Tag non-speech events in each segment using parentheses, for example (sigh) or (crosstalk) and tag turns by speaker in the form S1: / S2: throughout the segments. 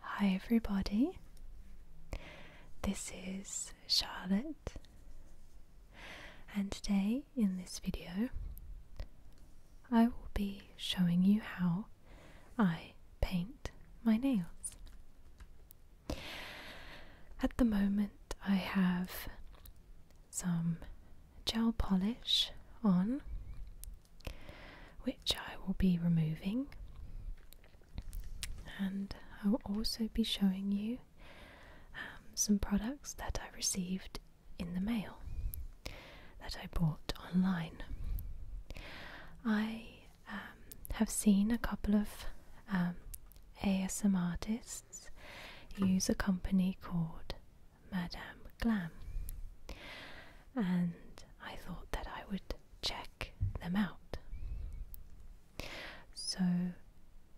S1: Hi, everybody. This is Charlotte, and today in this video, I will be showing you how I paint my nails. At the moment, I have some gel polish on which I will be removing and I will also be showing you um, some products that I received in the mail that I bought online. I um, have seen a couple of ASM um, artists use a company called Madame Glam. And I thought that I would check them out. So,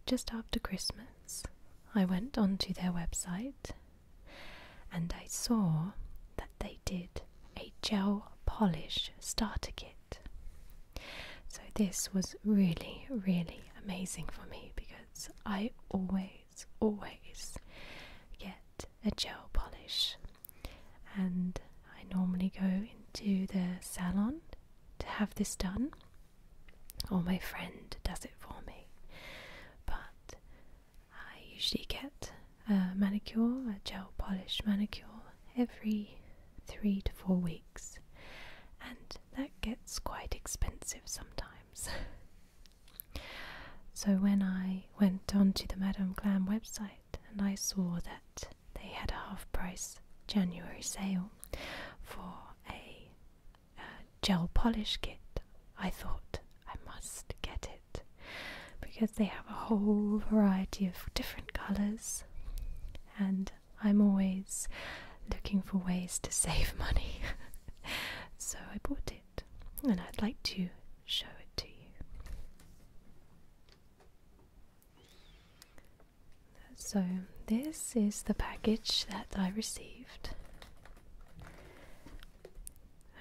S1: just after Christmas, I went onto their website and I saw that they did a gel polish starter kit. So, this was really, really amazing for me because I always always, get a gel polish. And I normally go into the salon to have this done, or my friend does it for me. But I usually get a manicure, a gel polish manicure, every three to four weeks, and that gets quite expensive sometimes. (laughs) So when I went onto the Madame Glam website and I saw that they had a half price January sale for a, a gel polish kit, I thought I must get it because they have a whole variety of different colours and I'm always looking for ways to (laughs) save money. so I bought it and I'd like to show it to you. So, this is the package that I received,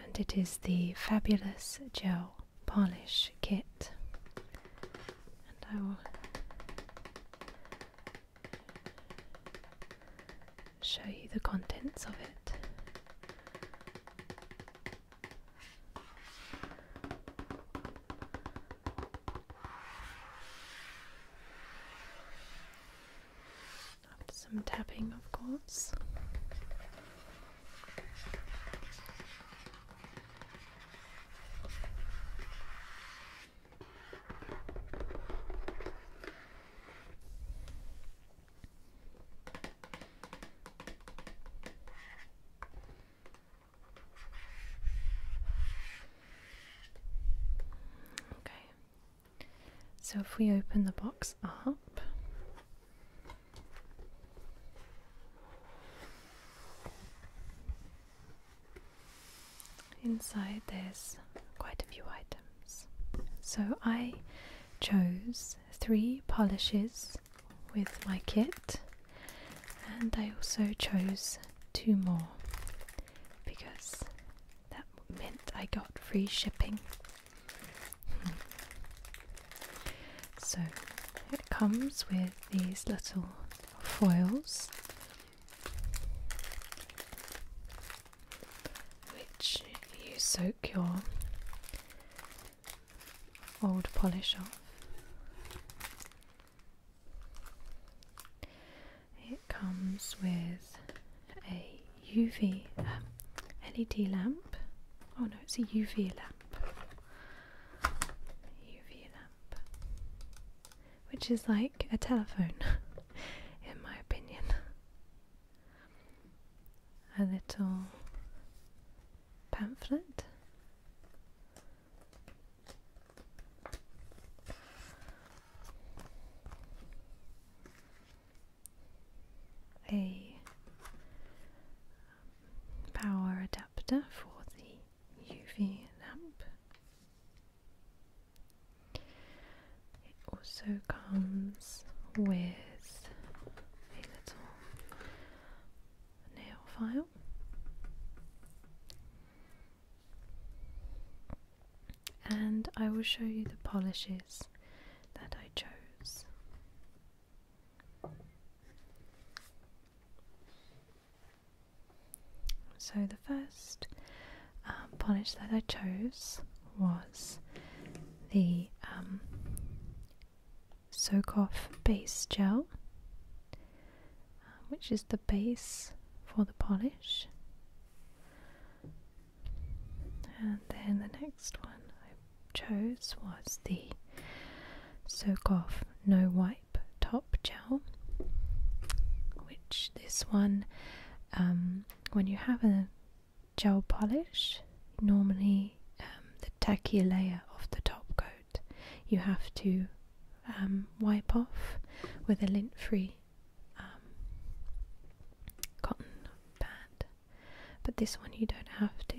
S1: and it is the Fabulous Gel Polish Kit. And I will show you the contents of it. some tapping, of course. Okay, so if we open the box up. Inside, there's quite a few items. So I chose three polishes with my kit, and I also chose two more because that meant I got free shipping. (laughs) so it comes with these little foils which you soak your old polish off. It comes with a UV LED lamp. Oh no, it's a UV lamp. UV lamp, which is like a telephone, (laughs) in my opinion a little pamphlet a power adapter for the UV lamp it also comes with a little nail file. And I will show you the polishes that I chose. So, the first um, that I chose was the um, Soak Off Base Gel, uh, which is the base for the polish. And then the next one I chose was the Soak Off No Wipe Top Gel, which this one um, when you have a gel polish, normally um, the tacky layer of the top coat you have to um, wipe off with a lint free um, cotton pad, but this one you don't have to.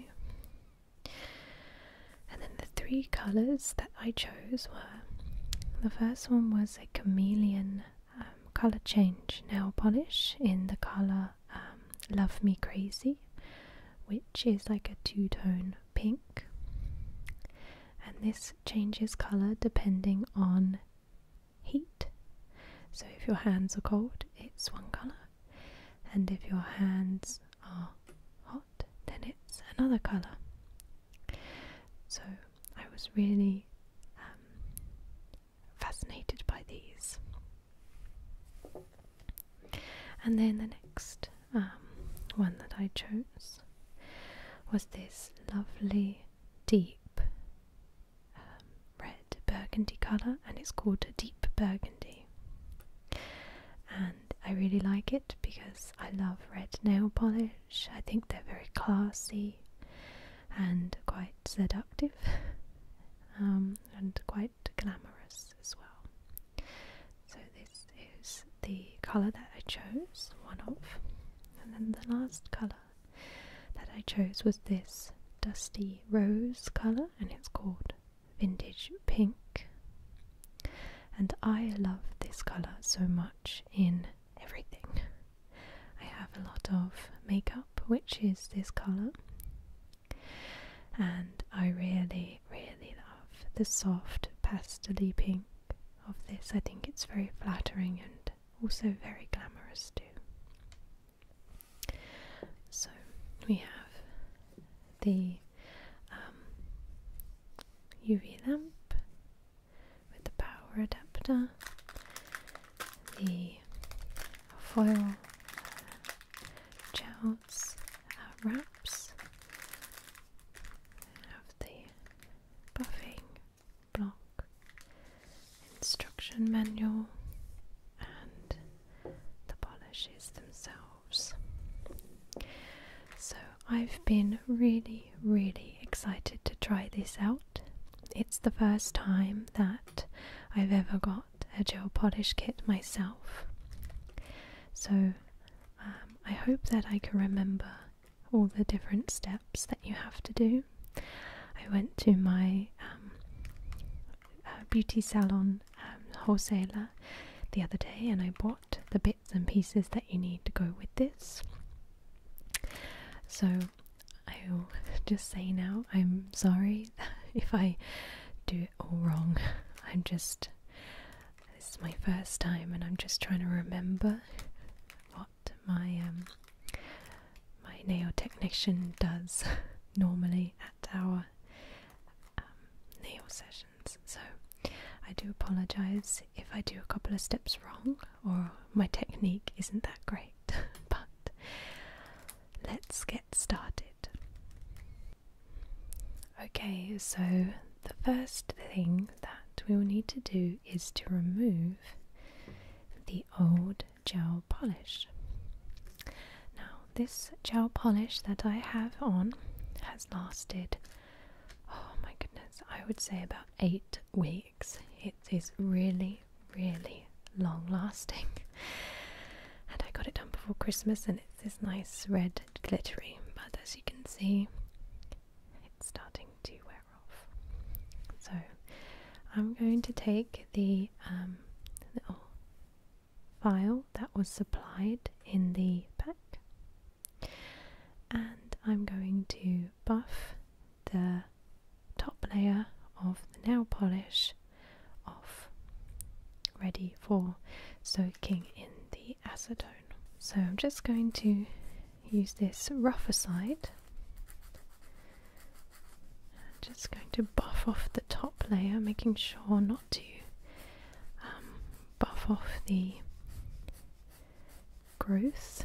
S1: And then the three colours that I chose were the first one was a chameleon um, color change nail polish in the color um, Love Me Crazy, which is like a two tone pink, and this changes color depending on heat. So, if your hands are cold, it's one color, and if your hands are hot, then it's another color. So, I was really um, fascinated by these. And then the next um, one that I chose was this lovely deep um, red burgundy colour, and it's called deep burgundy. And I really like it because I love red nail polish I think they're very classy and quite seductive (laughs) um, and quite glamorous as well. So, this is the colour that I chose, one of, and then the last colour that I chose was this dusty rose colour, and it's called Vintage Pink. And I love this colour so much in everything. I have a lot of makeup, which is this color, and I really, really love the soft pastely pink of this. I think it's very flattering and also very glamorous, too. So we have the UV um, lamp with the power adapter, the foil jowls uh, wraps, have the buffing block, instruction manual, and the polishes themselves. So I've been really really, excited to try this out. It's the first time that I've ever got a gel polish kit myself. So um, I hope that I can remember all the different steps that you have to do. I went to my um, uh, beauty salon um, wholesaler the other day and I bought the bits and pieces that you need to go with this. So I will just say now I'm sorry (laughs) if I do it all wrong. (laughs) I'm just this is my first time, and I'm just trying to remember what my um, my nail technician does (laughs) normally at our um, nail sessions. So I do apologize if I do a couple of steps wrong or my technique isn't that great, (laughs) but let's get started. Okay, so the first thing that we will need to do is to remove the old gel polish. Now, this gel polish that I have on has lasted, oh my goodness, I would say about eight weeks it is really, really long lasting. (laughs) And I got it done before Christmas and it's this nice red glittery, but as you can see, it's starting to wear off. So I'm going to take the um, little file that was supplied in the pack and I'm going to buff the top layer of the nail polish off, ready for soaking in the acetone. So I'm just going to use this rougher side. just going to buff off the top layer, making sure not to um, buff off the growth.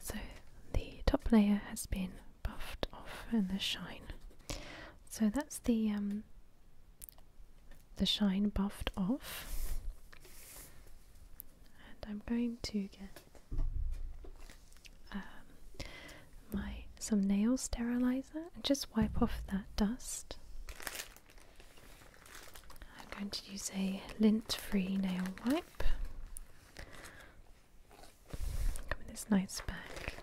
S1: So the top layer has been buffed off and the shine. So that's the um, the shine buffed off. And I'm going to get um, my some nail sterilizer and just wipe off that dust. I'm going to use a lint-free nail wipe. Come this nice back.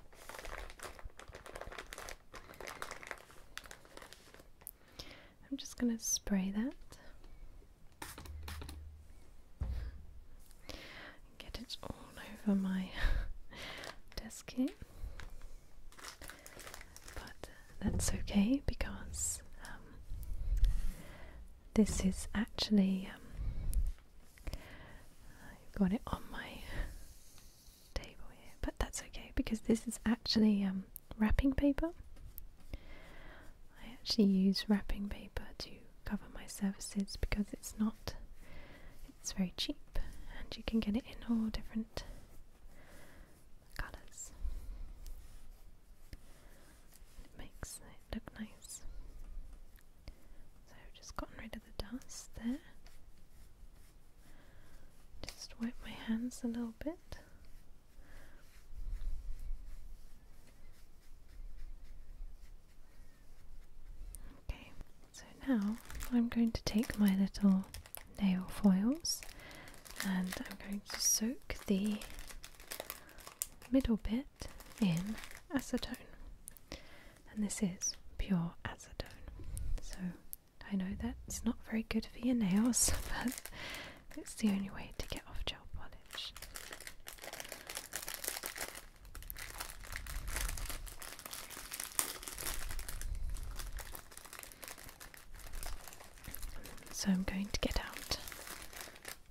S1: I'm just going to spray that. Get it all over my (laughs) desk here. But uh, that's okay because um, this is actually, um, I've got it on my table here, but that's okay because this is actually um, wrapping paper. I actually use wrapping paper to cover my surfaces because it's not, it's very cheap and you can get it in all different colours. It makes it look nice. So I've just gotten rid of the dust there. Just wipe my hands a little bit. Okay, so now I'm going to take my little nail foils and I'm going to soak the middle bit in acetone. And this is pure acetone. So I know that's not very good for your nails, (laughs) but it's the only way to get off gel polish. So I'm going to get out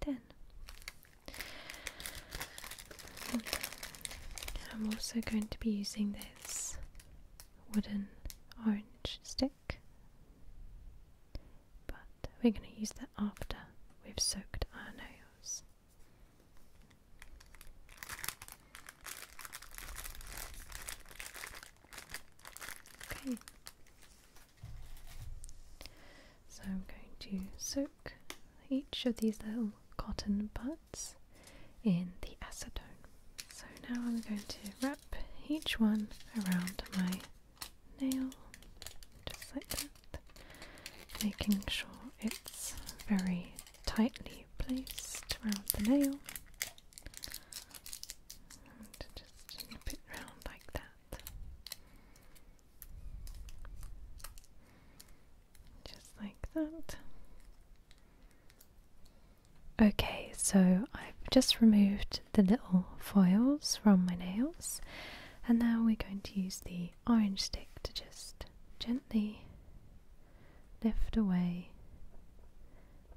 S1: 10. I'm also going to be using this wooden orange stick, but we're going to use that after we've soaked our nails. Okay, so I'm going to soak each of these little cotton buds in the acetone. So now I'm going to wrap each one around my nail, just like that, making sure it's very tightly placed around the nail. And just nip it round like that. Just like that. Okay, so I've just removed the little foils from my nails, and now we're going to use the orange stick to just gently lift away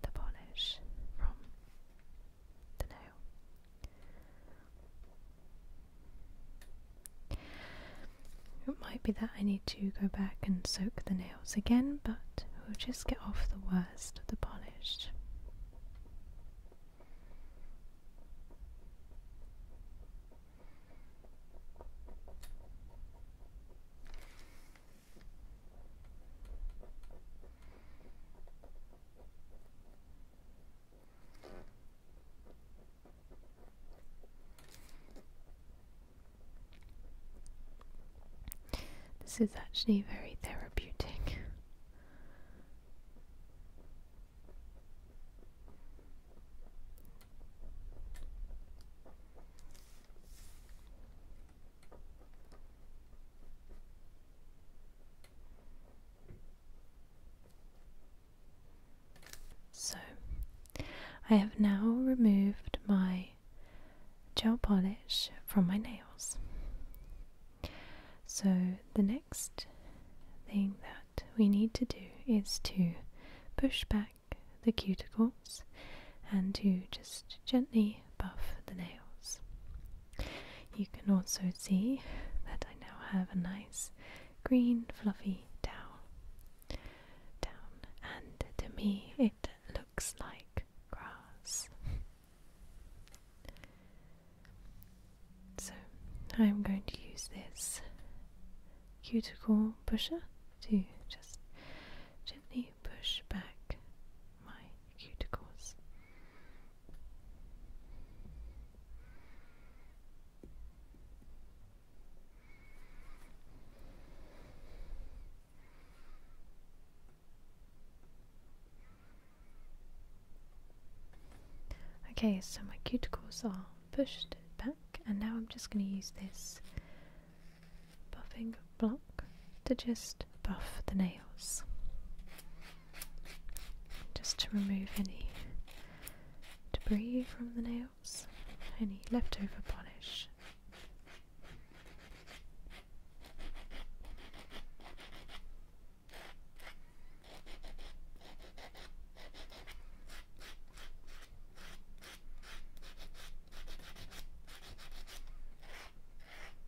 S1: the polish from it might be that I need to go back and soak the nails again, but we'll just get off the worst of the polish. This is actually very therapeutic. So, I have now removed my gel polish from my nails. So, the next thing that we need to do is to push back the cuticles and to just gently buff the nails. You can also see that I now have a nice green fluffy towel down, and to me it looks like grass. so I'm going to use this cuticle pusher to just gently push back my cuticles Okay, so my cuticles are pushed back, and now I'm just going to use this buffing block to just buff the nails just to remove any debris from the nails, any leftover polish.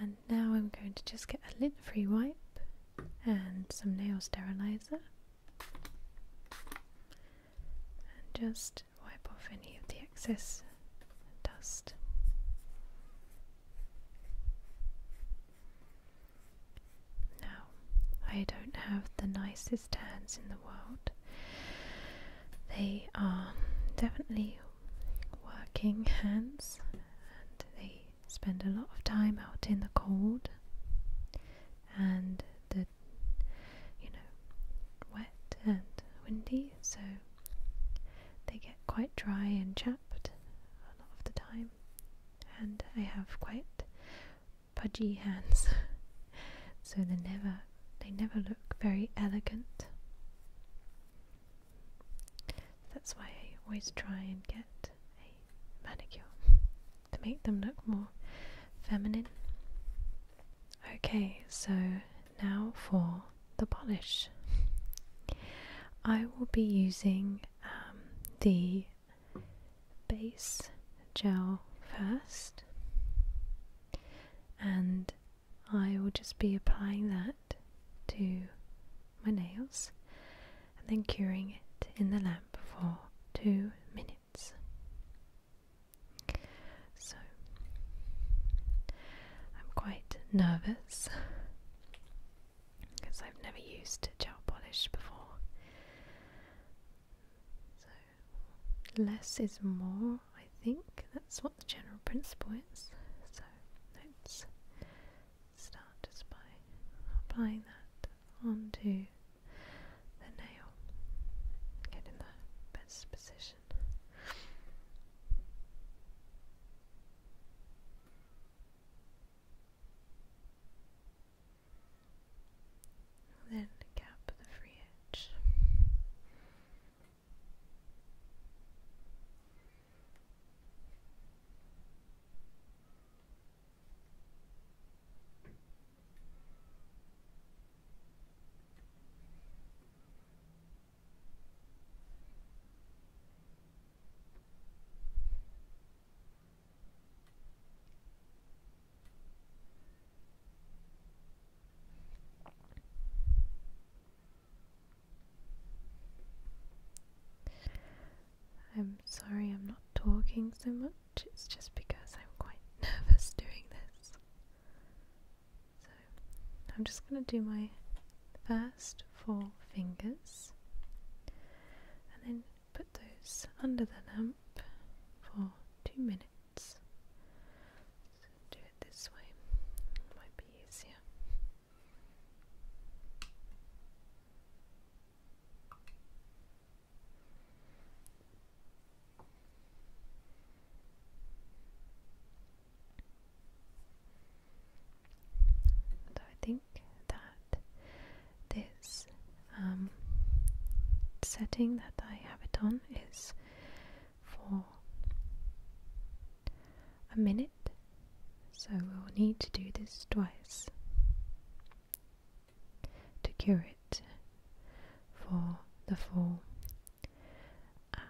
S1: And now I'm going to just get a lint free wipe and some nail sterilizer and just wipe off any of the excess dust. Now, I don't have the nicest hands in the world. They are definitely working hands and they spend a lot of time out in the cold and the you know wet and windy so they get quite dry and chapped a lot of the time and I have quite pudgy hands, (laughs) so they never they never look very elegant. That's why I always try and get a manicure (laughs) to make them look more feminine. Okay, so now for the polish. (laughs) I will be using um, the base gel first and I will just be applying that to my nails and then curing it in the lamp for two minutes. So I'm quite nervous because I've never used gel polish before. So, less is more, I think. That's what the general principle is. So, let's start just by applying that onto the nail. Get the best position. Then cap the free edge. I'm sorry I'm not talking so much, it's just because I'm quite (laughs) nervous doing this. So I'm just going to do my first four fingers and then put those under the lamp for two minutes. do it this way, might be easier. And I think that this um, setting that I have it on is for a minute, so we'll need to do this twice to cure it for the full um,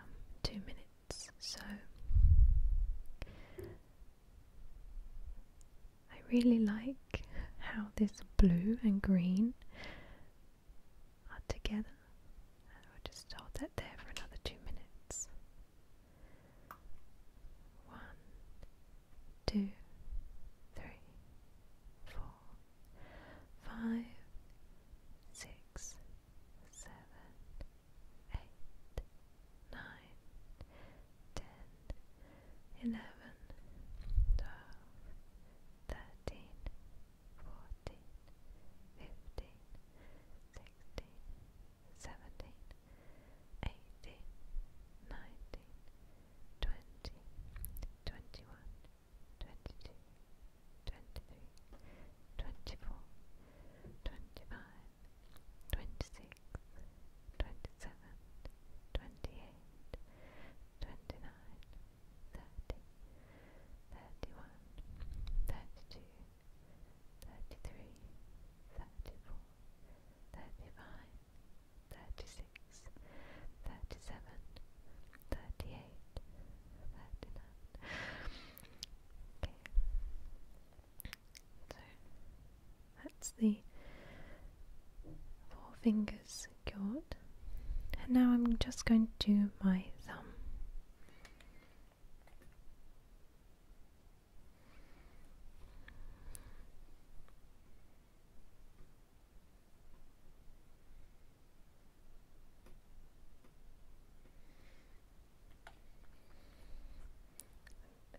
S1: two minutes. So I really like how this blue and green are together. I'll just hold that there for another two minutes. One, two, three, four, five, six, seven, eight, nine, ten, eleven, twelve, thirteen, fourteen, fifteen, sixteen, seventeen, eighteen, nineteen, twenty, twenty-one, twenty-two, twenty-three, twenty-four, twenty-five, twenty-six, twenty-seven, twenty-eight, twenty-nine, thirty, thirty-one, thirty-two, thirty-three, thirty-four, thirty-five, thirty-six, thirty-seven, thirty-eight, thirty-nine. Okay. So that's the four fingers chord. And now I'm just going to do my thumb.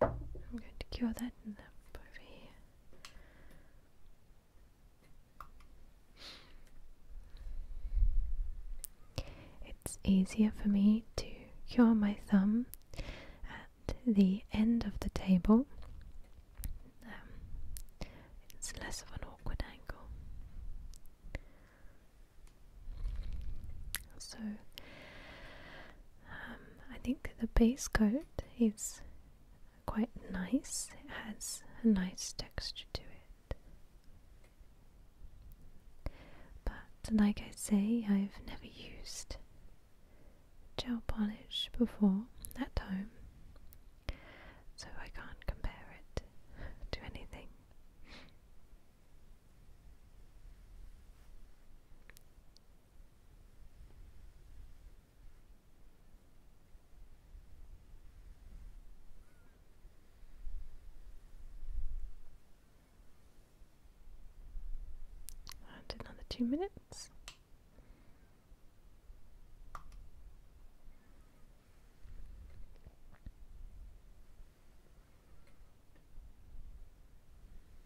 S1: I'm going to cure that in the over here. It's easier for me to cure my thumb at the end of the table. Um, it's less of an awkward angle. So um, I think the base coat is quite nice, it has a nice texture to it.
S2: But like I say, I've
S1: never used gel polish before at home, so I can't compare it to anything. And another two minutes.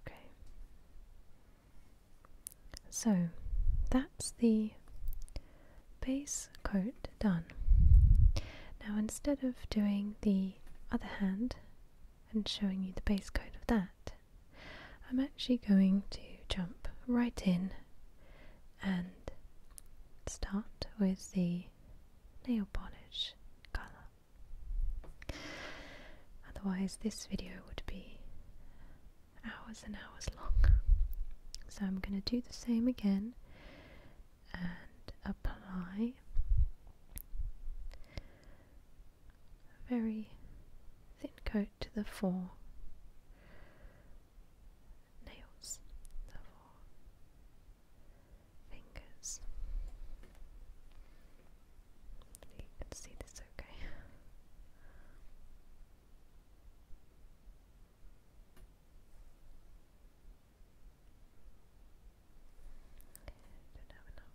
S1: Okay. So that's the base coat done. Now instead of doing the other hand and showing you the base coat of that, I'm actually going to jump right in and start with the nail polish colour. Otherwise, this video would be hours and hours long. So I'm going to do the same again and apply very thin coat to the four nails, the four fingers. You can see this okay. Don't have enough.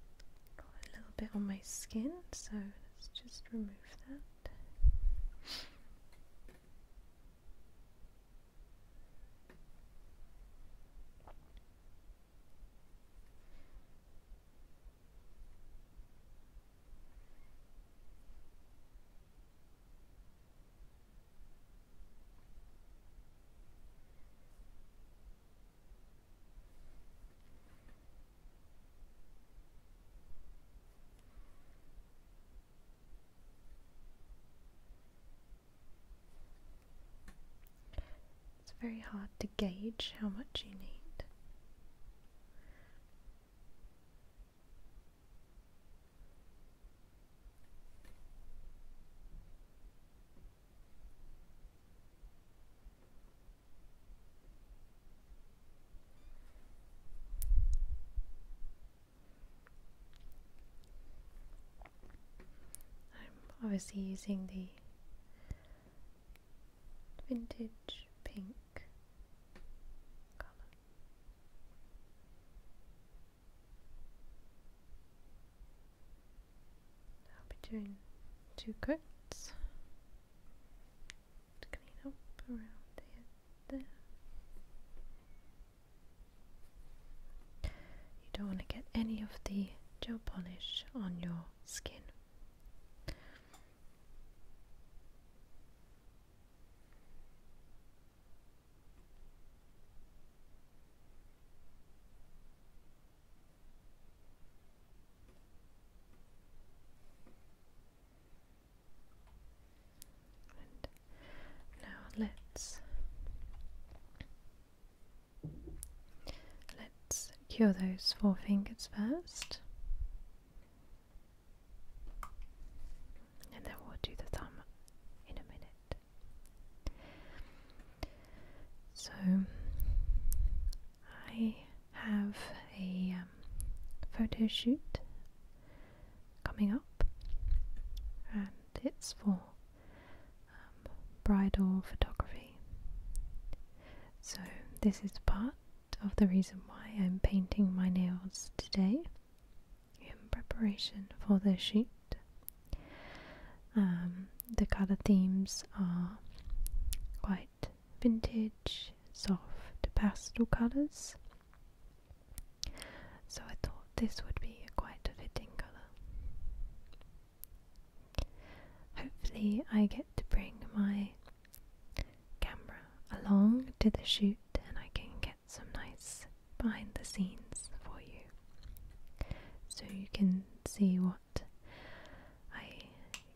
S1: Got a little bit on my skin, so let's just remove remove that. It's very hard to gauge how much you need. I'm obviously using the vintage pink i I'll be doing two coats you don't want to get any of the gel polish on your skin now let's let's cure those four fingers first. And then we'll do the thumb in a minute. So I have a um, photo shoot coming up, and it's for um, bridal photography. So, this is part of the reason why I'm painting my nails today in preparation for the shoot. Um, the colour themes are quite vintage, soft pastel colours. So I thought this would be a quite a fitting colour. Hopefully, I get to bring my camera along to the shoot and I can get some nice behind the scenes for you so you can see what I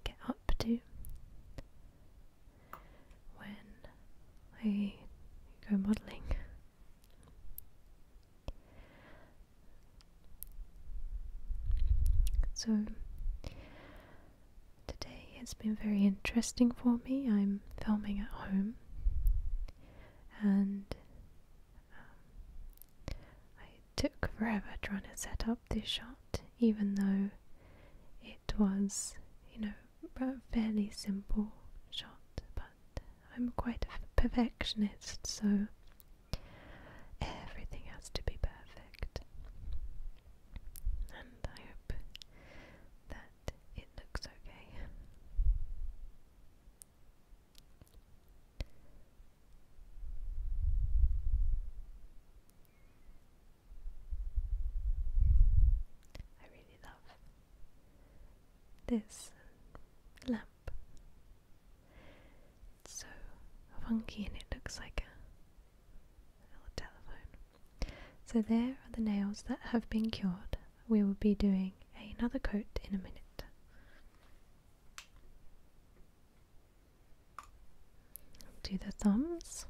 S1: get up to when I go modelling. So, today has been very interesting for me. I'm filming at home and um, I took forever trying to set up this shot, even though it was, you know, a fairly simple shot. But I'm quite a perfectionist, so everything has to be perfect. And I hope that it looks okay. I really love this lamp. It's so funky and it looks like a telephone. So there are the nails that have been cured. We will be doing another coat in a minute do the thumbs.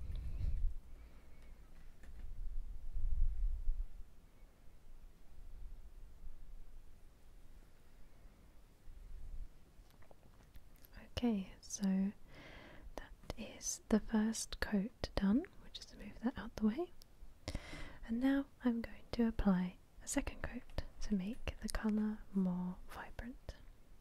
S1: Okay, so that is the first coat done. We'll just move that out the way. And now I'm going to apply a second coat to make the colour more vibrant.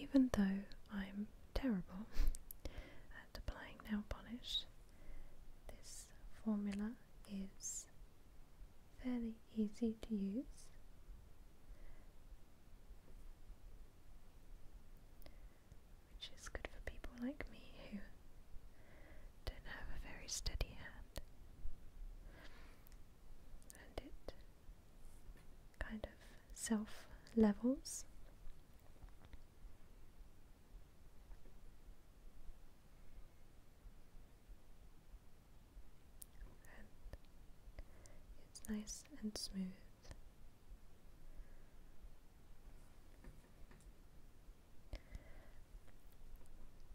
S1: Even though I'm terrible (laughs) at applying nail polish, this formula is fairly easy to use. Which is good for people like me who don't have a very steady hand and it kind of self levels. it's nice and smooth.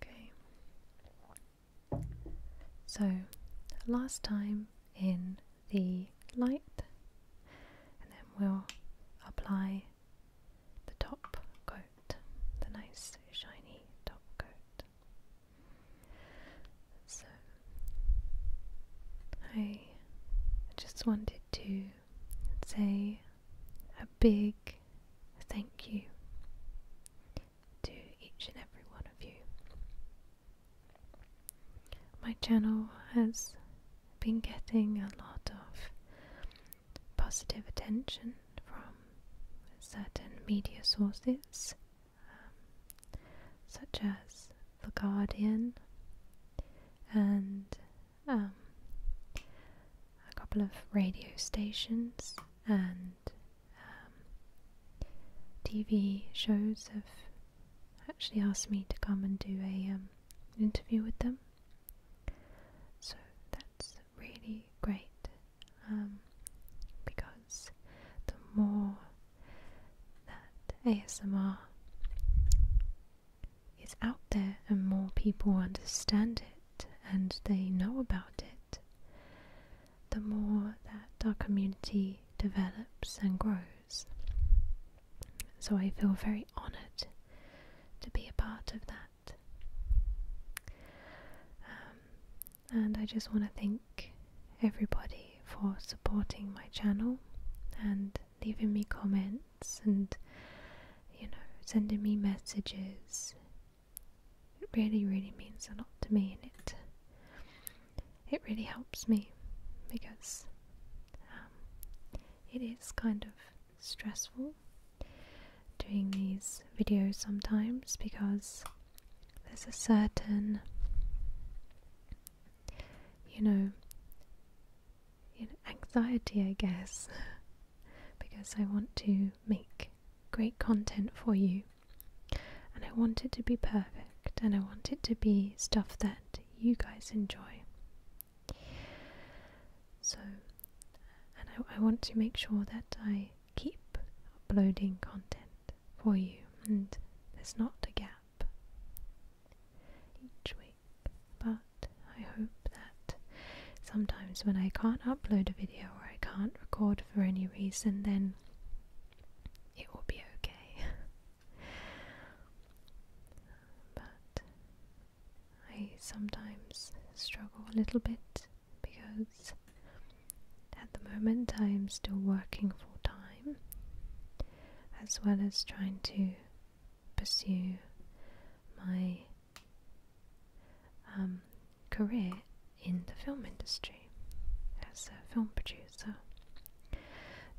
S1: Okay. So, last time in the light, and then we'll apply the top coat, the nice shiny top coat. So, I just wanted to say a big thank you to each and every one of you. My channel has been getting a lot of positive attention from certain media sources, um, such as The Guardian and um, a couple of radio stations and um, TV shows have actually asked me to come and do a um, interview with them. So that's really great because the more that ASMR is out there and more people understand it and they know about it, the more that our community develops and grows. So I feel very honoured to be a part of that. Um, and I just want to thank everybody for supporting my channel and leaving me comments and you know sending me messages. It really, really means a lot to me, and it it really helps me because um, it is kind of stressful doing these videos sometimes because there's a certain you know anxiety I guess (laughs) because I want to make great content for you. And I want it to be perfect and I want it to be stuff that you guys enjoy. So, and I, want to make sure that I keep uploading content for you and there's not a gap each week but I hope that sometimes when I can't upload a video or I can't record for any reason, then it will be okay. (laughs) but I sometimes struggle a little bit because at the moment I'm still working full time as well as trying to pursue my um, career in the film industry as a film producer.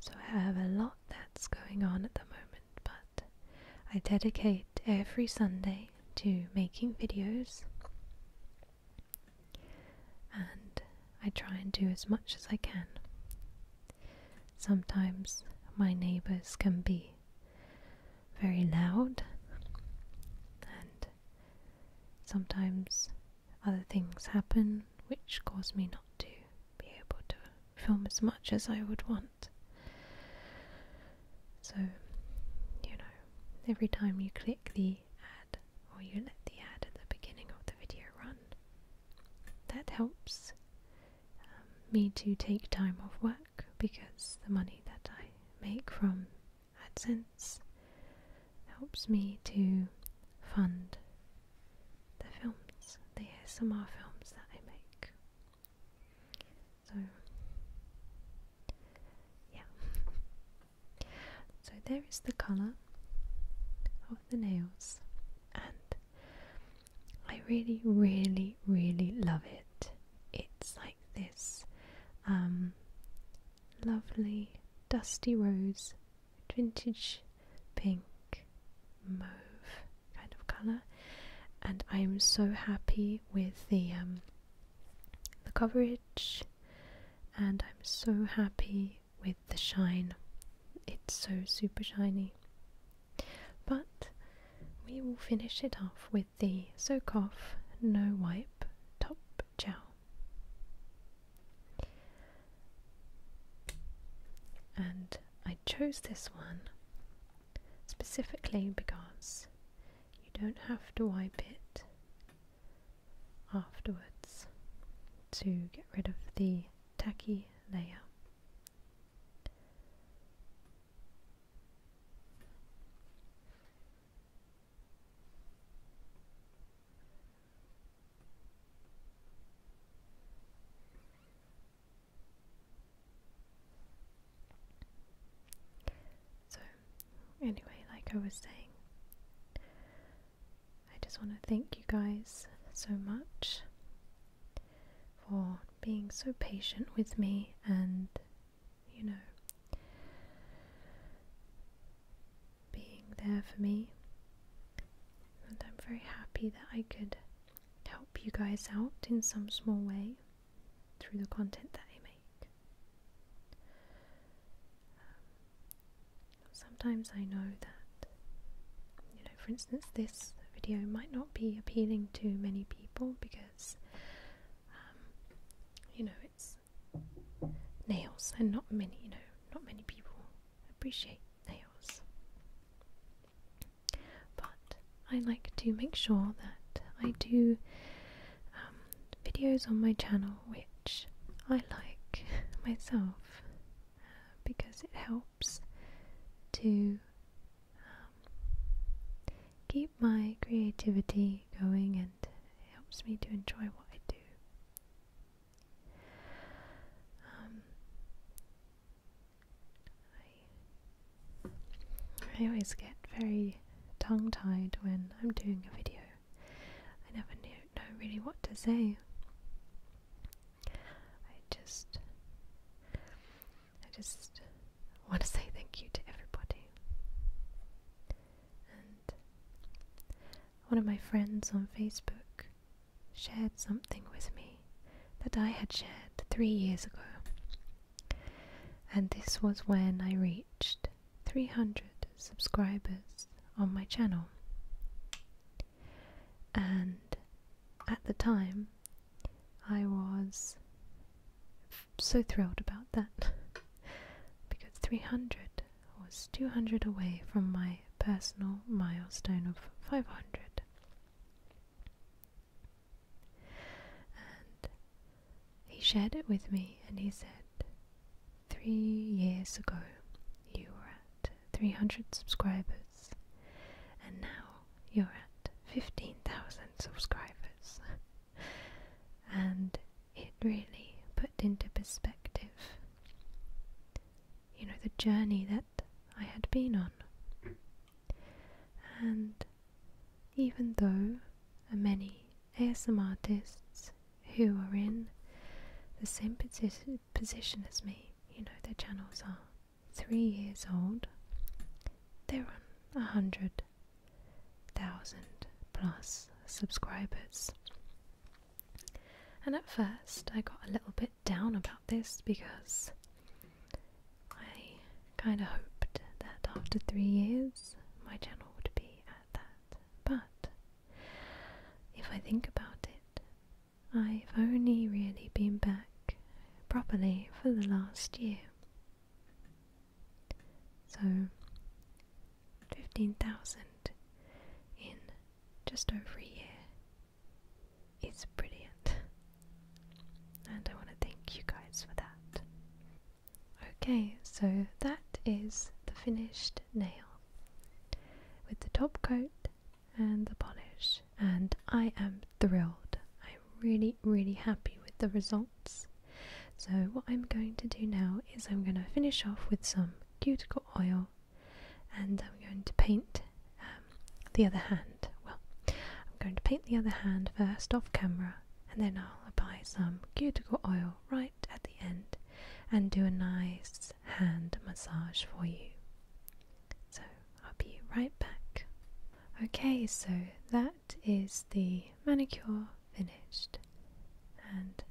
S1: So I have a lot that's going on at the moment, but I dedicate every Sunday to making videos and I try and do as much as I can. Sometimes my neighbors can be very loud, and sometimes other things happen which cause me not to be able to film as much as I would want. So, you know, every time you click the ad or you let the ad at the beginning of the video run, that helps me to take time off work because the money that I make from AdSense helps me to fund the films, the ASMR films that I make. So, yeah. so there is the colour of the nails, and I really, really, really love it. It's like this um, lovely dusty rose, vintage pink, mauve kind of colour, and I'm so happy with the um, the coverage, and I'm so happy with the shine. It's so super shiny. But we will finish it off with the soak off, no wipe, top gel. And I chose this one specifically because you don't have to wipe it afterwards to get rid of the tacky layer. So, anyway, like I was saying, I just want to thank you guys so much for being so patient with me and, you know, being there for me. And I'm very happy that I could help you guys out in some small way through the content that I make. Um, sometimes I know that for instance, this video might not be appealing to many people because, um, you know, it's nails, and not many, you know, not many people appreciate nails. But I like to make sure that I do um, videos on my channel which I like (laughs) myself uh, because it helps to keep my creativity going and it helps me to enjoy what I do. Um, I, always get very tongue tied when I'm doing a video. I never know really what to say. I just I just want to say thank you to everybody. And one of my friends on Facebook shared something with me that I had shared three years ago. And this was when I reached 300 subscribers on my channel. And at the time, I was so thrilled about that (laughs) because 300 was 200 away from my personal milestone of 500. he shared it with me and he said, Three years ago, you were at 300 subscribers. And now you're at 15,000 subscribers. and it really put into perspective, you know, the journey that I had been on. And even though many ASM artists who are in the same position as me, you know, their channels are three years old, there are a hundred thousand plus subscribers. And at first, I got a little bit down about this because I kind of hoped that after three years my channel would be at that. But if I think about it, I've only really been back properly for the last year. So, 15,000 in just over a year is brilliant. And I want to thank you guys for that. Okay, so that is the finished nail. With the top coat and the polish and I am thrilled. I'm really really happy with the results. So what I'm going to do now is I'm going to finish off with some cuticle oil and I'm going to paint um, the other hand. Well, I'm going to paint the other hand first off camera and then I'll apply some cuticle oil right at the end and do a nice hand massage for you. So I'll be right back. Okay, so that is the manicure finished, and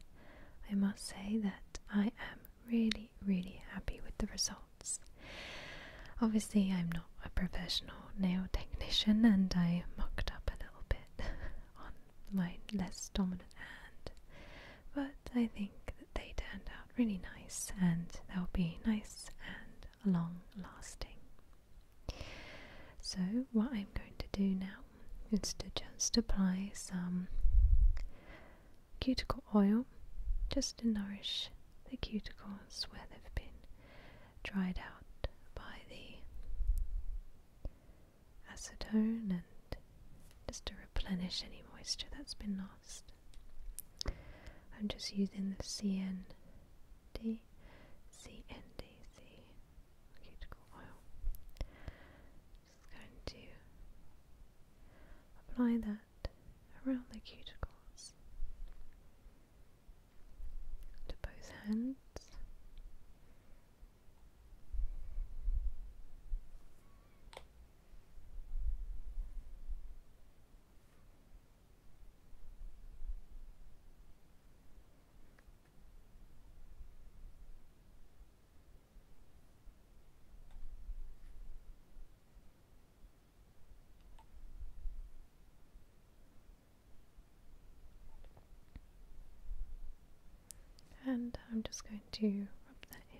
S1: I must say that I am really, really happy with the results. Obviously, I'm not a professional nail technician, and I mucked up a little bit (laughs) on my less dominant hand, but I think that they turned out really nice and they'll be nice and long lasting. So, what I'm going to do now is to just apply some cuticle oil just to nourish the cuticles where they've been dried out by the acetone and just to replenish any moisture that's been lost. I'm just using the CND, CNDC cuticle oil. Just going to apply that around the cuticles to both hands. And I'm just going to rub that in.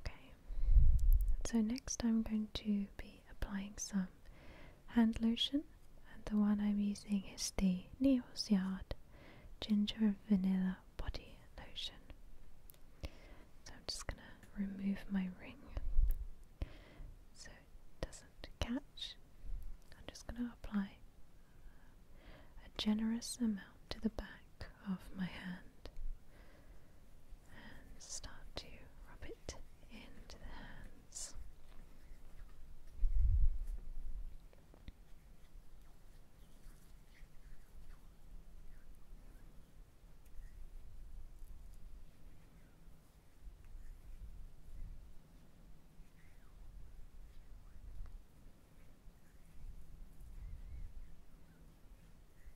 S1: Okay, so next I'm going to be applying some hand lotion, and the one I'm using is the Neos Yard Ginger Vanilla Body Lotion. So I'm just gonna remove my ring so it doesn't catch. I'm just gonna apply a generous amount to the back of my hand and start to rub it into the hands.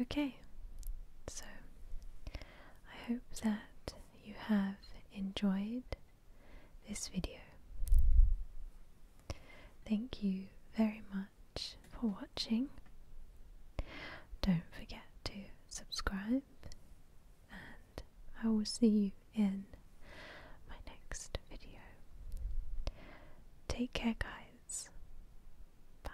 S1: Okay, so I hope that you have enjoyed this video. Thank you very much for watching. Don't forget to subscribe, and I will see you in my next video. Take care, guys. Bye.